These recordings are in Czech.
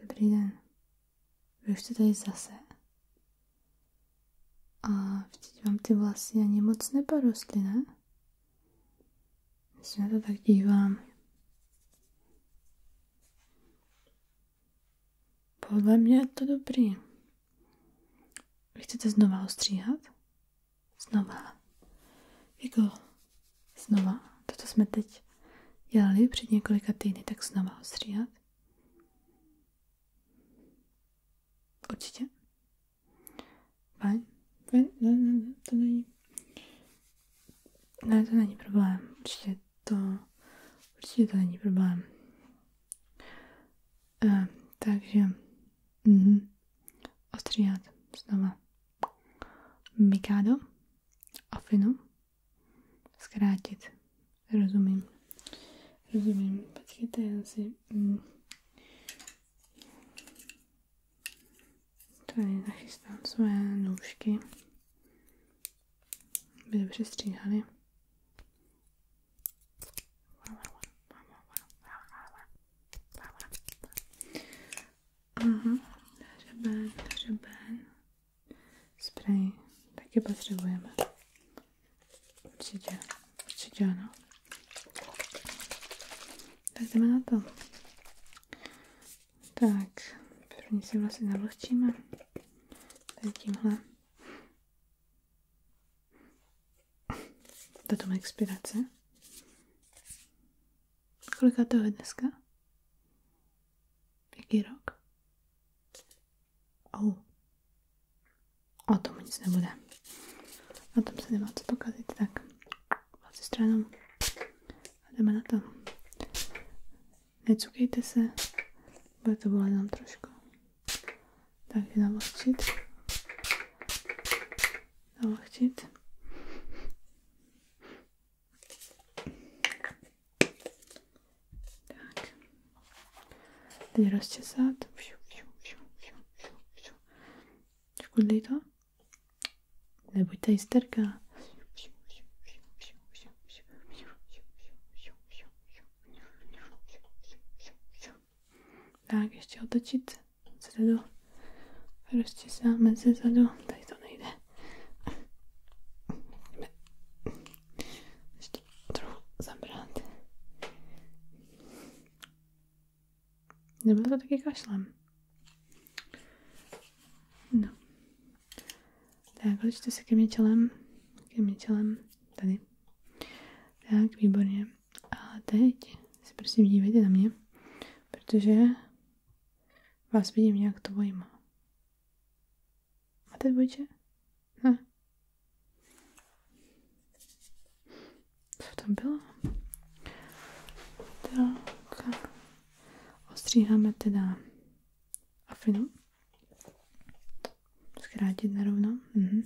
Dobrý den. Vy to jste tady zase. A vždyť vám ty vlasy ani moc neporostly, ne? Když se na to tak dívám. Podle mě je to dobrý. Vy chcete znova ostříhat? Znova. Jako, znova, to, co jsme teď dělali před několika týdny, tak znova ostříhat. Určitě. Fajn. Fajn, ne, ne, ne, to není. Ne, to není problém. Určitě to, určitě to není problém. E, takže, mhm. Ostříhat znova. Mikado, Afinu zkrátit. Rozumím. Rozumím. Počkejte, já si... Mm. Tady nachystám své nůžky. By dobře stříhaly. Aha, mhm. hřeben, hřeben. Spray taky potřebujeme. Určitě, určitě ano. Tak jdeme na to. Tak, první si vlastně navlhčíme. Tady tímhle. Tato má expirace. Kolika toho je dneska? Jaký rok? Oh. O tom nic nebude. Na tom se nemá co pokazit, tak vlastně stranou. A jdeme na to. Necukejte se, bude to bolet nám trošku. Takže navlhčit. Navlhčit. Tak. Teď rozčesat. Škudlí to? Nebuďte hysterka. Tak, ještě otočit zadu. Rozčesáme ze zadu. Tady to nejde. Ještě trochu zabrat. Nebylo to taky kašlem. No. Tak, otočte se ke mně čelem. Ke mně čelem. Tady. Tak, výborně. A teď si prosím dívejte na mě, protože vás vidím nějak tvojima. A ty dvojče? Ne. Hm. Co tam bylo? Tak. Ostříháme teda afinu. Zkrátit narovno. Mhm.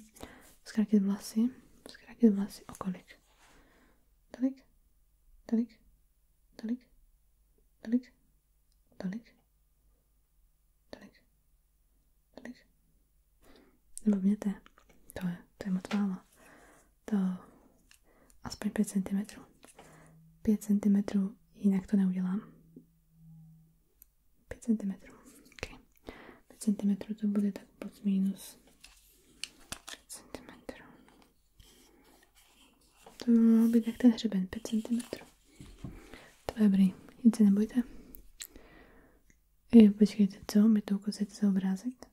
Zkrátit vlasy. Zkrátit vlasy. O kolik? Tolik? Tolik? tolik, tolik, tolik, tolik, tolik. Nebo to je, to je moc málo. To aspoň 5 cm. 5 cm, jinak to neudělám. 5 cm. Okay. 5 cm to bude tak plus minus cm. To by mohlo být jak ten hřeben, 5 cm. To je dobrý, nic se nebojte. I počkejte, co? Mi to ukazujete za obrázek?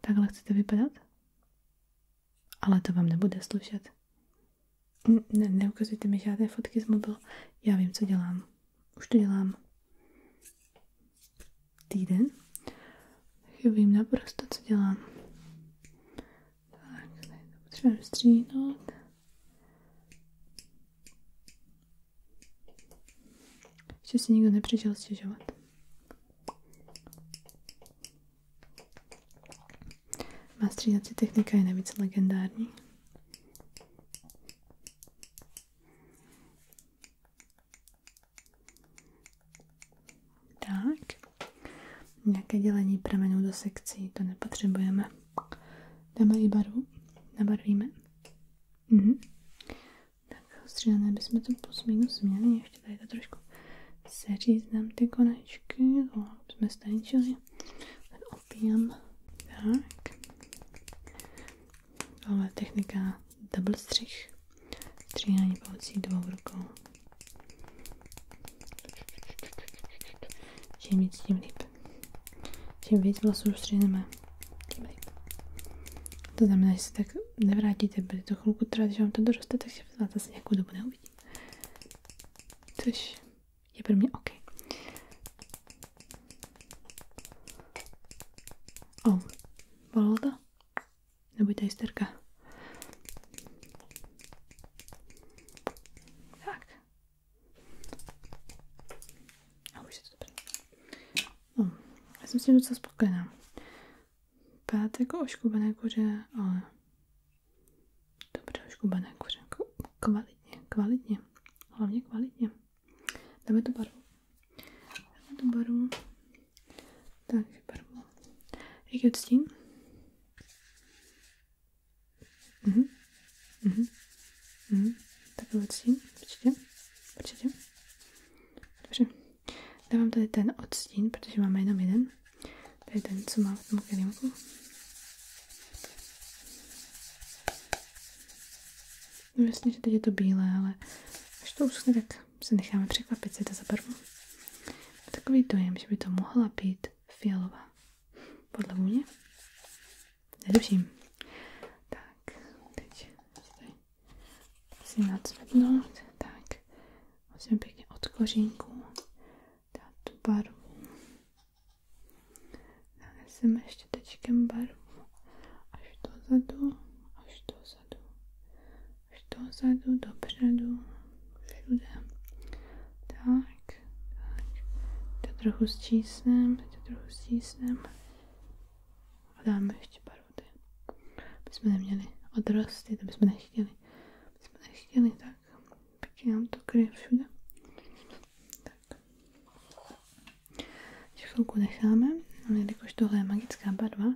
Takhle chcete vypadat? Ale to vám nebude slušet. Ne, neukazujte mi žádné fotky z mobilu. Já vím, co dělám. Už to dělám. Týden. Já Chybím naprosto, co dělám. Tak, potřebujeme stříhnout. Ještě si nikdo nepřišel stěžovat. Má stříhací technika je navíc legendární. Tak. Nějaké dělení pramenů do sekcí, to nepotřebujeme. Dáme i barvu, nabarvíme. Mhm. Tak střídané bychom to plus minus měli, ještě tady to trošku seříznám ty konečky, no, jsme stančili. Ten opijám. Tak. Tohle technika double střih. Stříhání pomocí dvou rukou. Čím víc, tím líp. Čím víc vlasů střihneme, tím líp. To znamená, že se tak nevrátíte, bude to chvilku trvat, že vám to doroste, takže vás zase nějakou dobu neuvidí. Což je pro mě OK. oh, bolelo to? Nebojte hysterka. Tak. A už je to dobré. No, já jsem s tím docela spokojená. Pátek jako oškubané kuře, ale dobře oškubané kuře. Jako kvalitně, kvalitně. Hlavně kvalitně. Dáme tu barvu. Dáme tu barvu. Takže barvu. Jaký odstín? Mhm. mhm. Mhm. Tak odstín, určitě, určitě. Dobře. Dávám tady ten odstín, protože máme jenom jeden. Tady ten, co má v tom kelímku. No že teď je to bílé, ale až to uschne, tak se necháme překvapit, co to za barvu. Takový dojem, že by to mohla být fialová. Podle mě. Netuším. Tak, teď si nacvrtnout. Tak, musím pěkně od kořínku dát tu barvu. Naneseme ještě tečkem barvu. Až dozadu, až dozadu, až dozadu, dopředu. Tak, To trochu stísnem, to trochu stísnem. A dáme ještě baruty. Aby jsme neměli odrosty, to bychom nechtěli. Aby jsme nechtěli, tak pěkně nám to kryje všude. Tak. Ještě chvilku necháme, ale no, jelikož tohle je magická barva,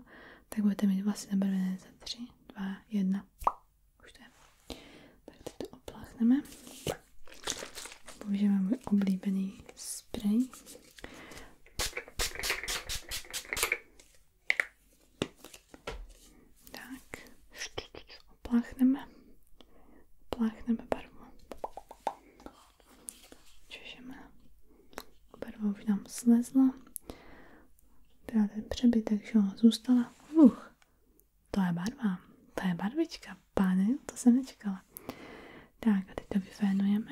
tak budete mít vlasy nabarvené za tři, dva, jedna. Už to je. Tak teď to opláchneme. Použijeme můj oblíbený spray. Tak. Opláchneme. Opláchneme barvu. Češeme. Barva už nám slezla. Teda ten přebytek, že ona zůstala. Uch. To je barva, to je barvička, pány, to jsem nečekala. Tak a teď to vyfénujeme.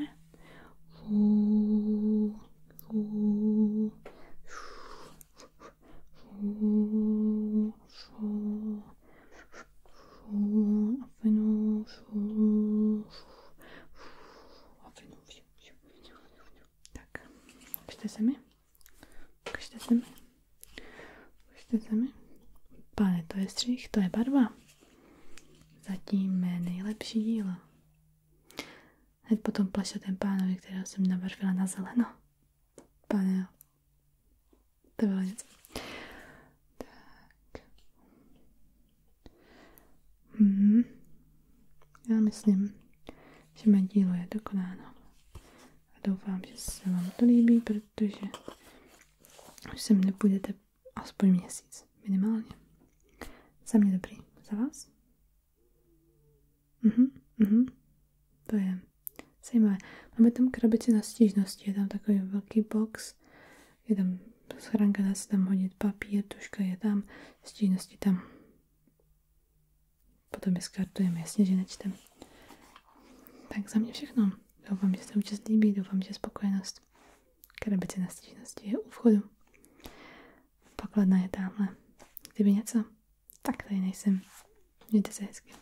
Fů, fů, fů, fů, fů, a finu, fů, a finu, fů, Ukažte se mi. Ukažte se mi. Pane, to je střih, to je barva. Zatím mé nejlepší dílo. Hned potom plašatém pánovi, kterého jsem nabarvila na zeleno. Pane, jo. To bylo něco. Tak. Mhm. Já myslím, že mé dílo je dokonáno doufám, že se vám to líbí, protože už sem nepůjdete aspoň měsíc, minimálně. Za mě dobrý. Za vás? Mhm, mhm. To je zajímavé. Máme tam krabici na stížnosti, je tam takový velký box, je tam schránka, dá se tam hodit papír, tuška je tam, stížnosti tam. Potom je skartujeme, jasně, že nečtem. Tak za mě všechno. Doufám, že se účast líbí, doufám, že spokojenost krabice na stížnosti je u vchodu. Pokladna je tamhle. Kdyby něco, tak tady nejsem. Mějte se hezky.